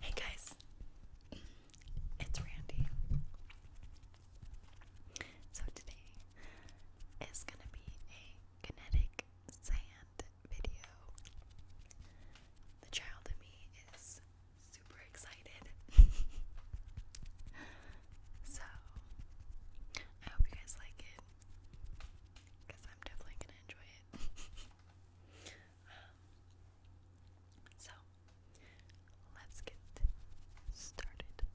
Hey guys, it's Randy. So today is gonna be a kinetic sand video. The child in me is super excited. so I hope you guys like it because I'm definitely gonna enjoy it. Um, so, let's get started.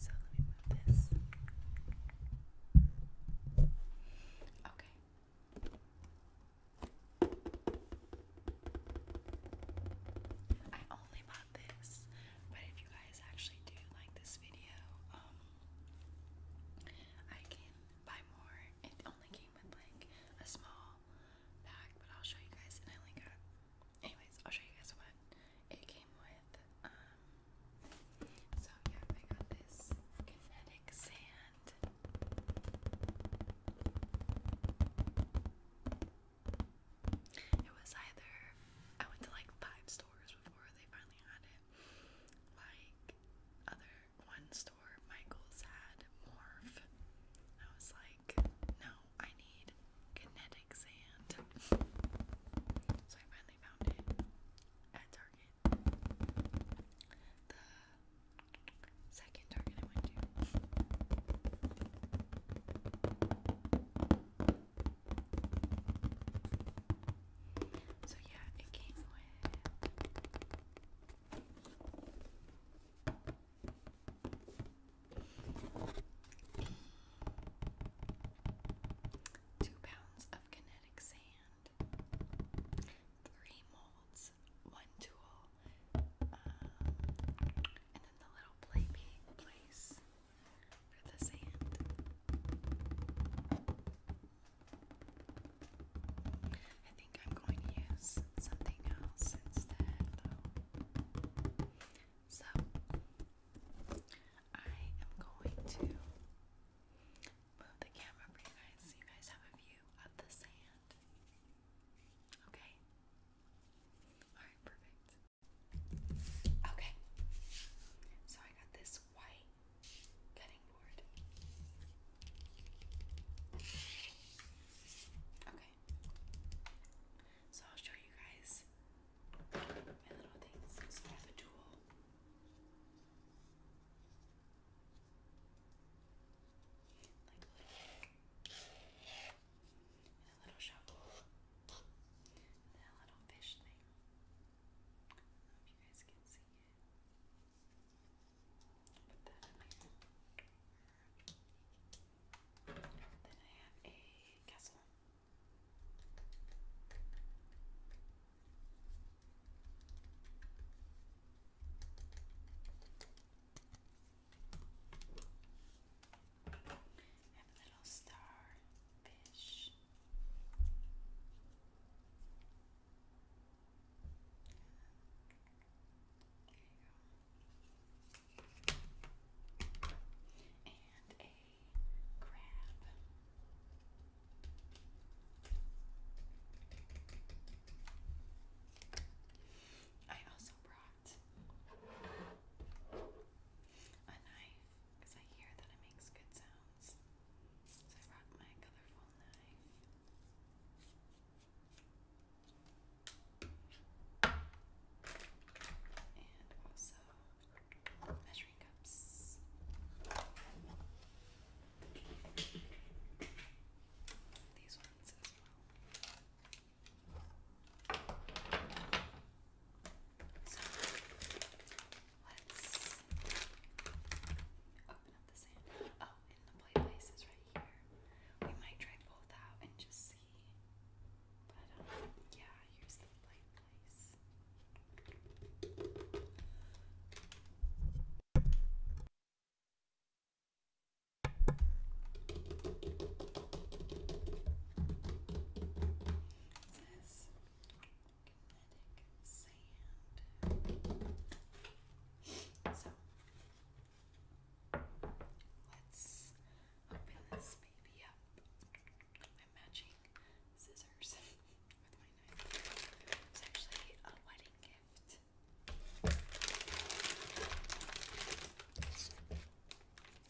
So, let me move this. Okay. I only bought this, but if you guys actually do like this video, um, I can buy more. It only came with like a small pack, but I'll show you guys and I only got anyways, I'll show you guys what it came with. Um, so yeah, I got this kinetic sand. It was either I went to like five stores before they finally had it. Like other one store, Michael's had Morph. I was like, no, I need kinetic sand. so I finally found it at Target. The second Target I went to. So yeah, it came with two pounds of kinetic sand, three molds, one tool, um, and then the little play place for the sand. I think I'm going to use something else instead, So, I am going to move the camera for you guys so you guys have a view of the sand. Okay? Alright, perfect. Okay. So I got this white cutting board. Okay. So I'll show you guys my little things. So tool. Like little and a little shovel. And a little fish thing. If you guys can see it. Put that in there. Then I have a castle. I have a little star fish. And a crab. I also brought a knife because I hear that it makes good sounds. So I brought my colorful knife and also measuring cups. These ones as well. So let's open up the sand. Oh, and the play place is right here. We might try both out and just see. But um, yeah, here's the play place. It kinetic sand. So let's open this baby up. I'm matching scissors with my knife. It's actually a wedding gift.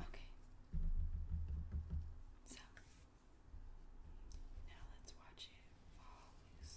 Okay. So now let's watch it fall loose.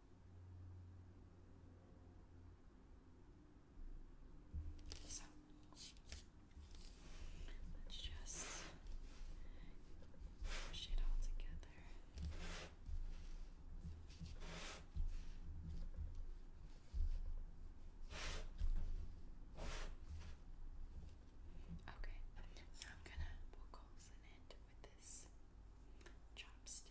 So let's just push it all together. Okay, I'm gonna pull holes in it with this chopstick.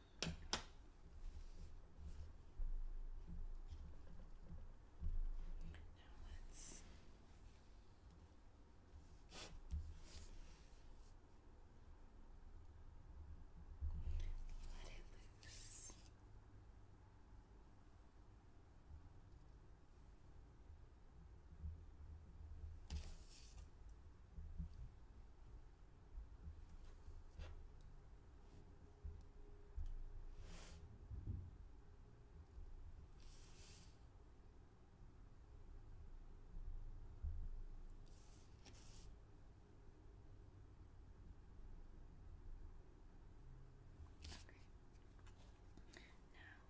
let's let it loose. Okay. Now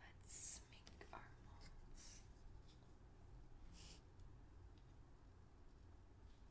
let's make our molds.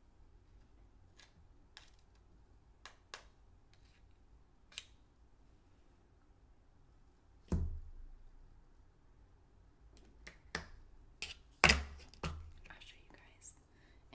I'll show you guys in a minute.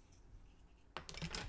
And our castle.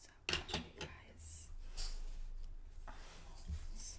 So I'll show you guys our molds.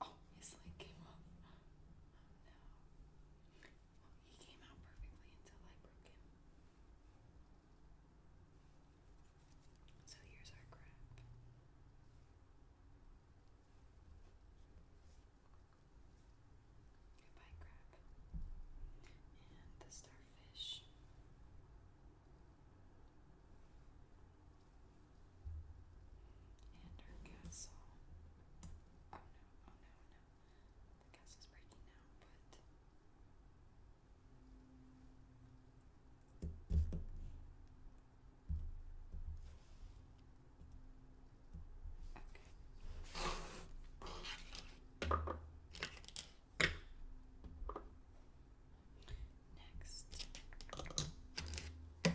Oh, his leg came up. Oh, no. Oh, he came out perfectly until I broke him. So here's our crab. Goodbye, crab. And the starfish fish. And our castle. Oh no, oh no, no. The castle's breaking down, but. Okay. Next. I'll do the little measuring cups.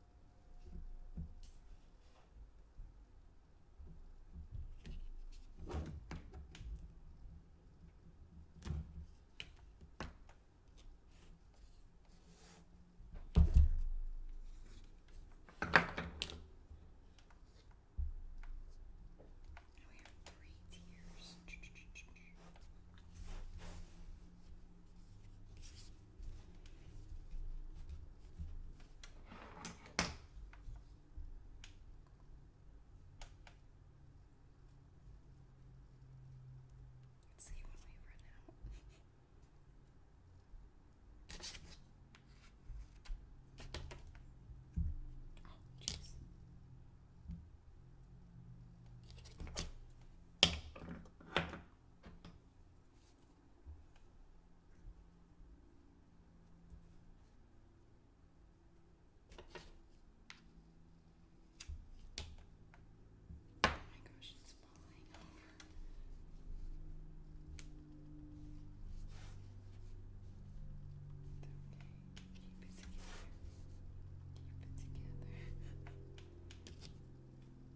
we have three tiers. Let's see when we run out. oh, jeez. Oh my gosh, it's falling over. Okay, keep it together. Keep it together.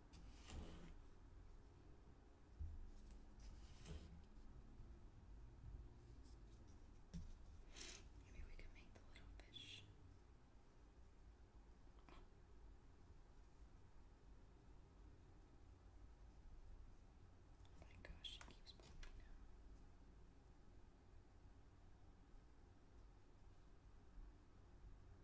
Maybe we can make the little fish. Oh. oh my gosh, it keeps popping out.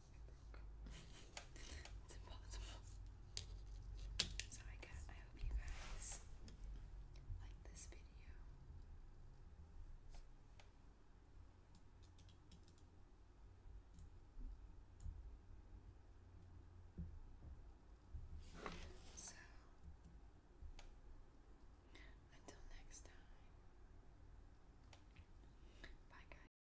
it's So I hope you guys like this video. So until next time. Bye guys.